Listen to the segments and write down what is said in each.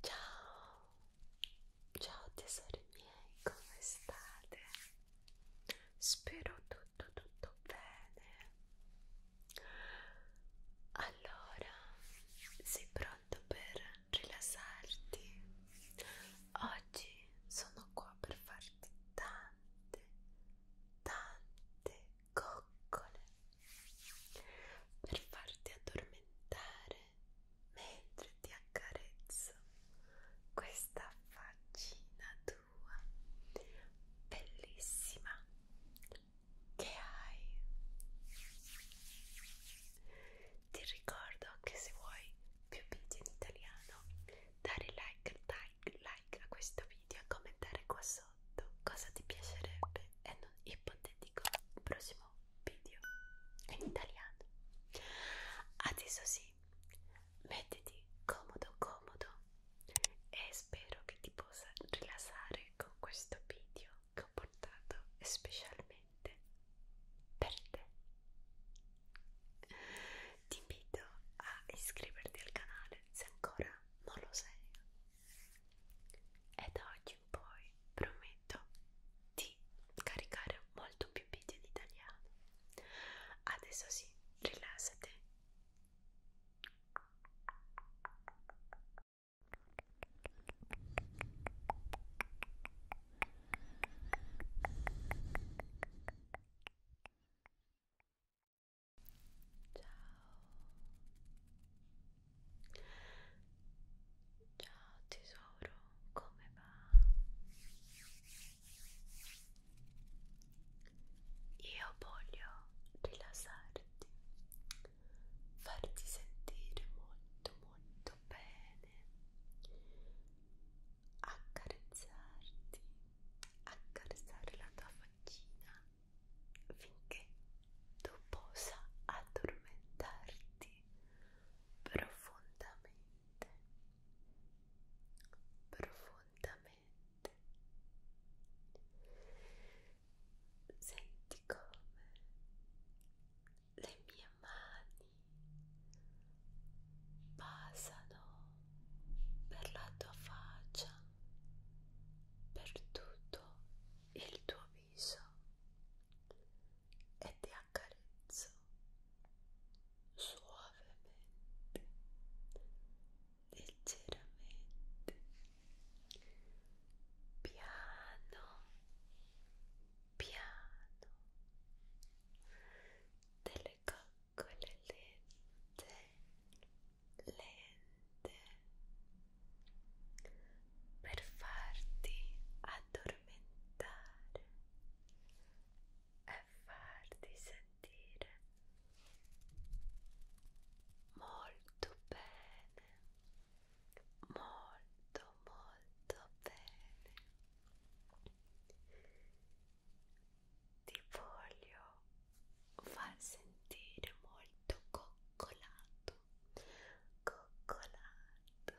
Ciao, ciao tesori miei, come state? Spero tutto tutto bene. Allora, sei pronto per rilassarti? Oggi sono qua per farti tante, tante coccole per farti addormentare mentre ti accarezzo questa faccina tua bellissima che hai ti ricordo che se vuoi più video in italiano dare like, like, like a questo video e commentare qua sotto cosa ti piacerebbe e non ipotetico prossimo video in italiano adesso sì mettiti comodo comodo e spero che ti possa rilassare con questo video che ho portato specialmente per te ti invito a iscriverti al canale se ancora non lo sei. E da oggi in poi prometto di caricare molto più video in italiano. Adesso sì, rilassati. Ciao. Ciao tesoro, come va? Io voglio rilassarti, farti sentire molto molto bene, accarezzarti, accarezzare la tua faccina finché tu possa addormentarti profondamente, profondamente. Senti come le mie mani passano per la tua faccia, per tutto il tuo viso e ti accarezzo suavemente, leggeramente, piano, piano delle cose con le lente lente per farti addormentare e farti sentire molto bene molto molto bene ti voglio far sentire molto coccolato coccolato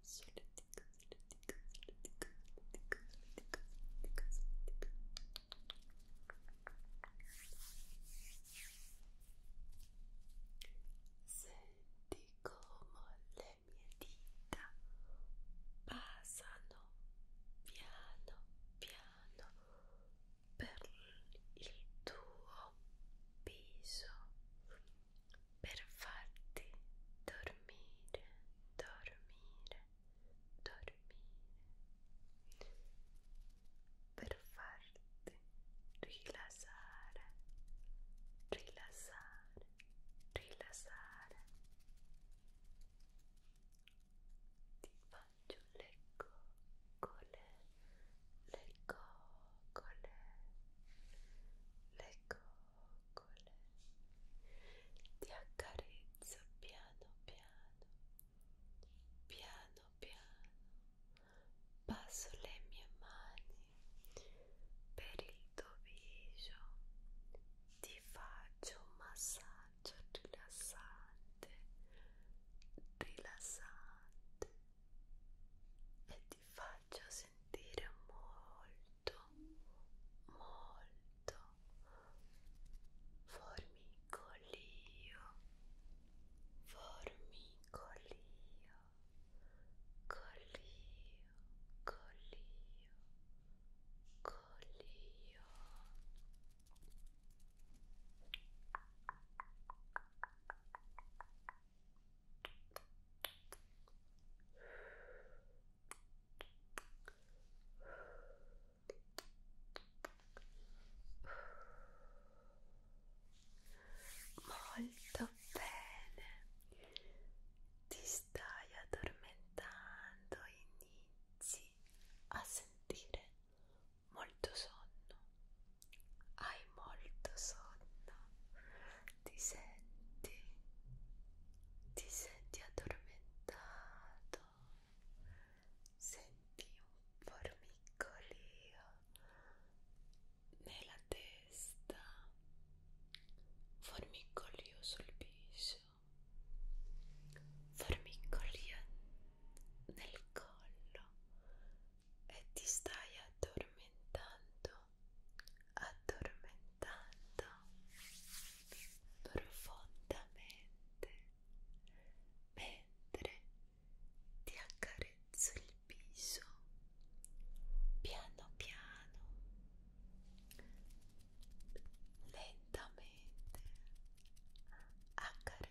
Senti come le mie dita passano piano piano per il tuo viso per farti dormire, dormire, dormire, per farti rilassare, rilassare, rilassare. Ti faccio le coccole, le coccole coccole, le coccole, ti accarezzo piano piano, piano piano, passo le mie mani per il tuo viso, ti faccio un massaggio rilassante, rilassante. E ti faccia sentire molto molto formicolio formicolio colio colio colio Formicolio, Molto bene, ti stai addormentando, inizi a sentire molto sonno, hai molto sonno, ti senti, ti senti addormentato, senti un formicolio nella testa, formicolio sul viso, formicolio nel collo e ti stai addormentando, addormentando profondamente mentre ti accarezzo il viso piano piano lentamente accarezzo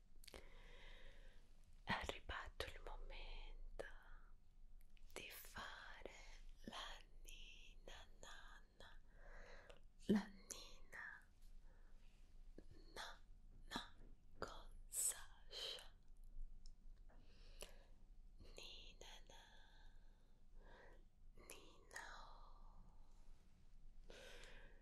è arrivato il momento di fare la nina nanna la nina nanna con Sasha nina na nina oh.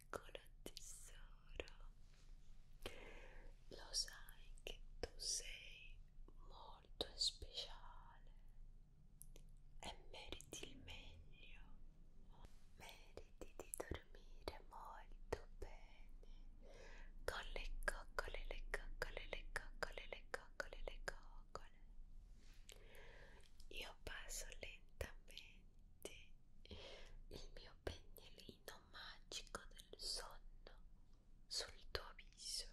piccolo tesoro lo sai che tu sei molto speciale e meriti il meglio meriti di dormire molto bene con le coccole le coccole le coccole le coccole le coccole io passo lentamente il mio pennellino mirino magico del sonno sul tuo viso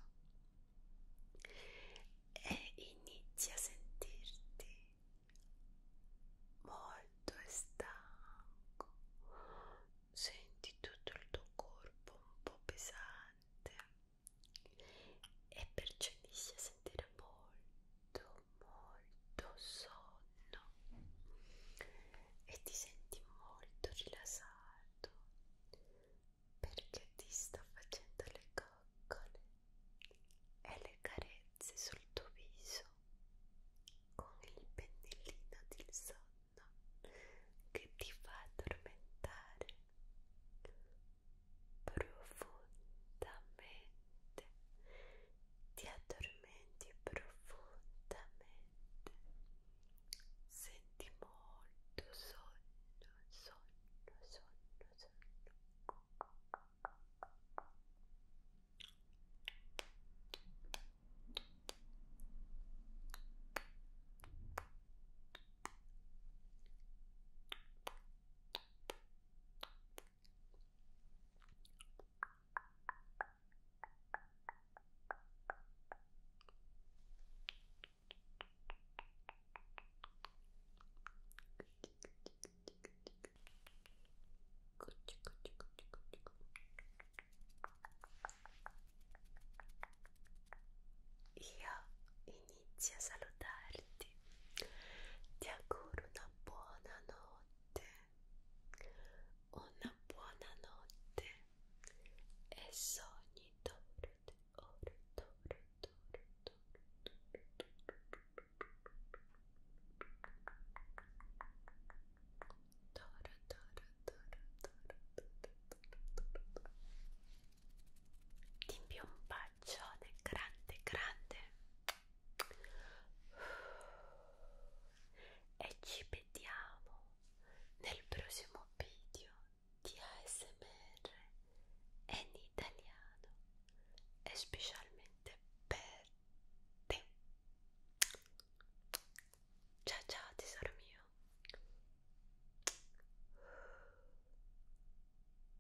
e inizi a sentirti molto stanco senti tutto il tuo corpo un po' pesante e perciò inizi a sentire molto molto sonno e ti senti molto rilassato perché ti sto facendo le coccole e le carezze sul tuo viso con il pennellino del sonno che ti fa addormentare profondamente ti addormenti profondamente, senti molto sonno, sonno, sonno, sonno. Io inizio a salutarti tardi. Ti auguro una buona notte, una buona notte e sogni torte, ore, torte, torte, torte, ti invio un bacione grande grande e ci vediamo nel prossimo video di ASMR in italiano e specialmente per te ciao ciao tesoro mio